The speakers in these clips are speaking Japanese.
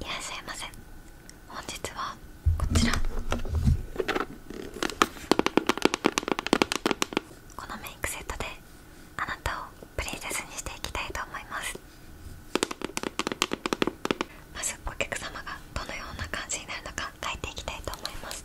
いらっしゃいませ本日はこちらこのメイクセットであなたをプリンセスにしていきたいと思いますまずお客様がどのような感じになるのか書いていきたいと思います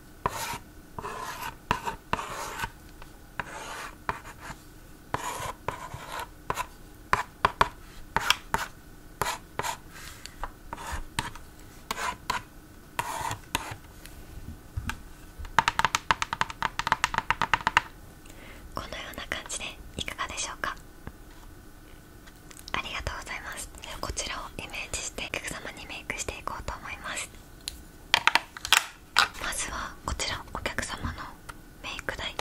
このような感じでいかがでしょうかありがとうございますこちらをイメージしてお客様にメイクしていこうと思いますまずはこちらお客様のメイク代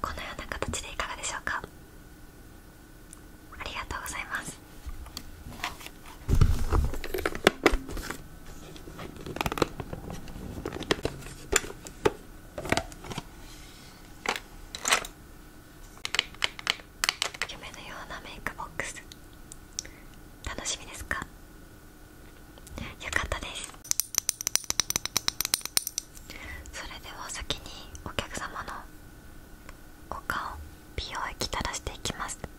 このような形でいかがでしょうかありがとうございます夢のようなメイクボックス楽しみですかよかったですそれでは先にお客様のお顔美容液垂らしていきます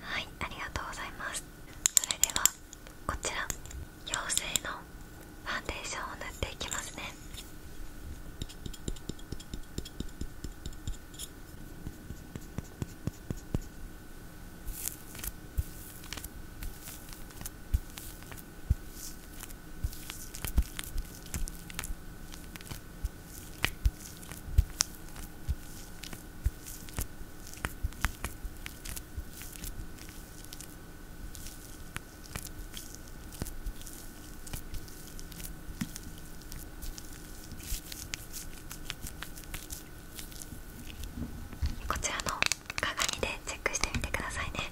はいありがとうございますそれではこちら妖精のファンデーションを塗っていきますねこちらの鏡でチェックしてみてくださいね。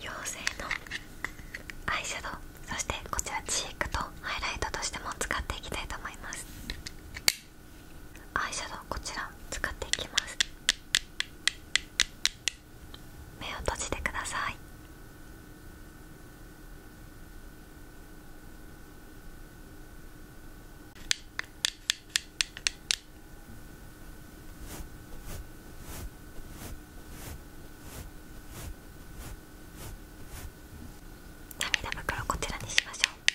妖精のアイシャドウそしてこちらチークとハイライトとしても使っていきたいと思います。アイシャドウこちら使っていきます目を閉じてください涙袋こちらにしましょう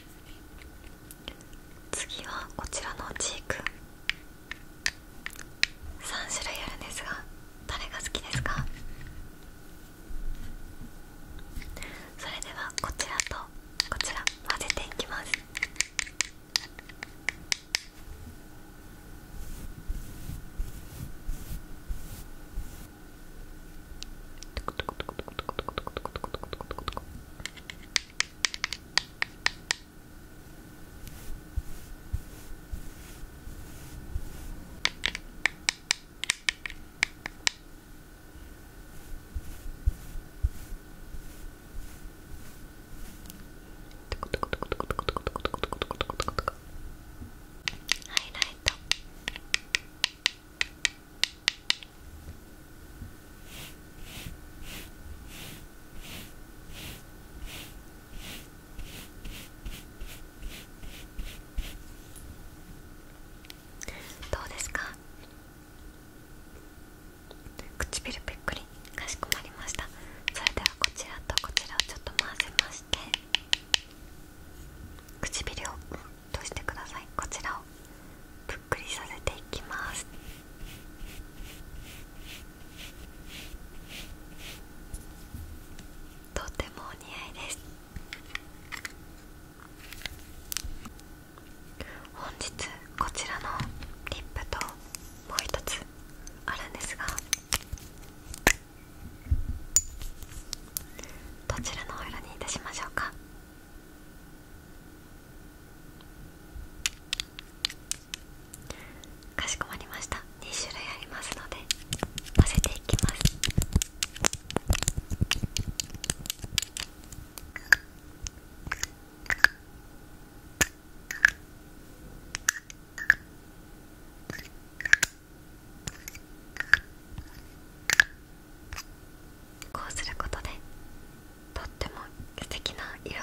次はこちらのチーク3種類あるんですが誰が好きですかそれではこちらとこちら混ぜていきますハイライト。どうですか唇ぺっくりかしこまりましたそれではこちらとこちらをちょっと混ぜまして唇をうんしてくださいこちらをぷっくりさせていきますとてもお似合いです本日こちらのリップともう一つあるんですがどちらのお色にいたしましょうかかしこまりました2種類ありますので混ぜていきますここうすることでとっても素敵な色合いに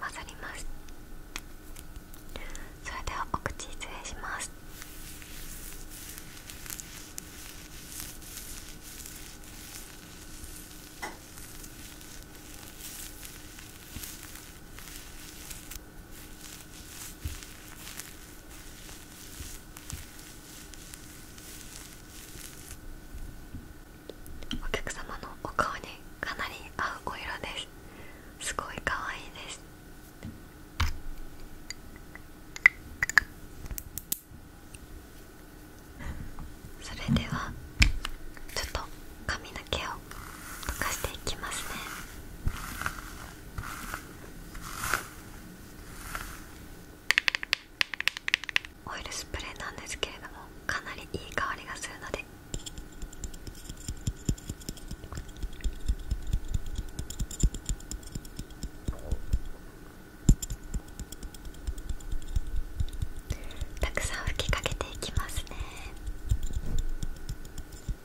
混ざりますそれではお口失礼しますお客様のお顔にかなり合うお色ですすごいかわいいですそれではちょっと髪の毛を溶かしていきますねオイルスプレーなんですけれどもかなりいい香りがするのでたくさん吹きかけていきますね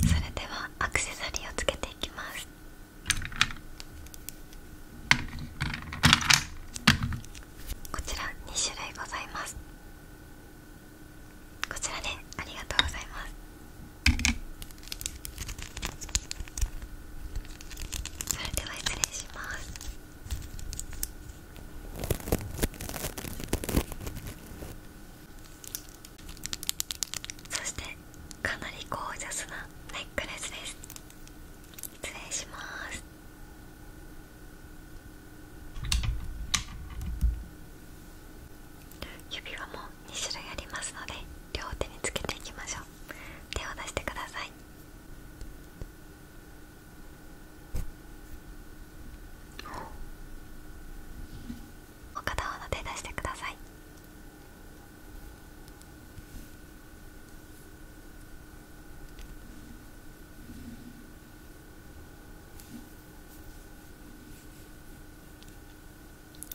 それではアクセサリーをつけていきますこちら2種類ございますこちらで、ね、ありがとうございますそれでは失礼しますそしてかなりゴージャスなネックレスです失礼します指輪も2種類ありますので両手につけていきましょう。手を出してくださいお片方の手出してください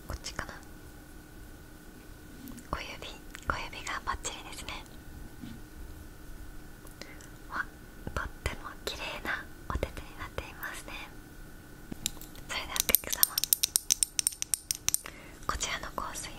こっちかな小指小指がバッチリですねわとってもきれいなお手手になっていますねそれではお客様こちらの香水を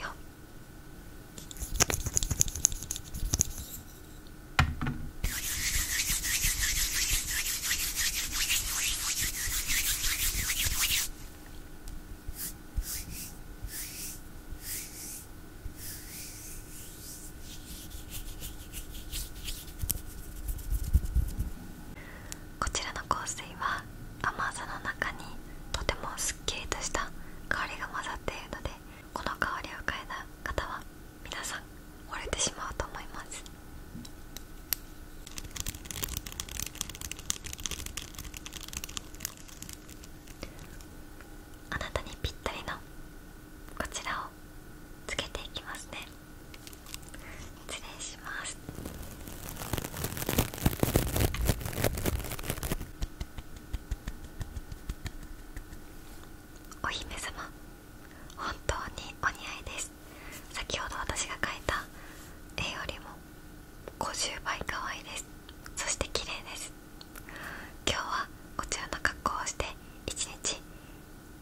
こちらの香水は甘さの中にとてもすっきりとした香りが混ざっているのでこの香りを嗅いだ方は皆さん折れてしまうと思いますあなたにぴったりのこちらをつけていきますね失礼しますお姫様本当にお似合いです先ほど私が描いた絵よりも50倍可愛いですそして綺麗です今日はこちらの格好をして一日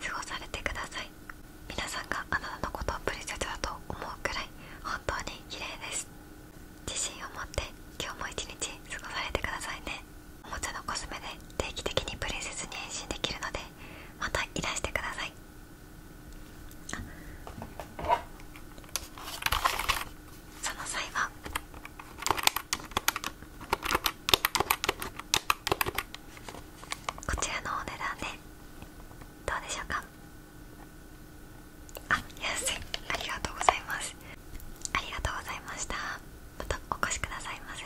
過ごされてください皆さんがあなたのことをプリセスだと思うくらい本当に綺麗です自信を持って今日も一日過ごされてくださいねおもちゃのコスメで定期的にプリンセスに変身できるのでまたいらしてくださいあ。その際はこちらのお値段でどうでしょうかあ安いありがとうございますありがとうございましたまたお越しくださいませ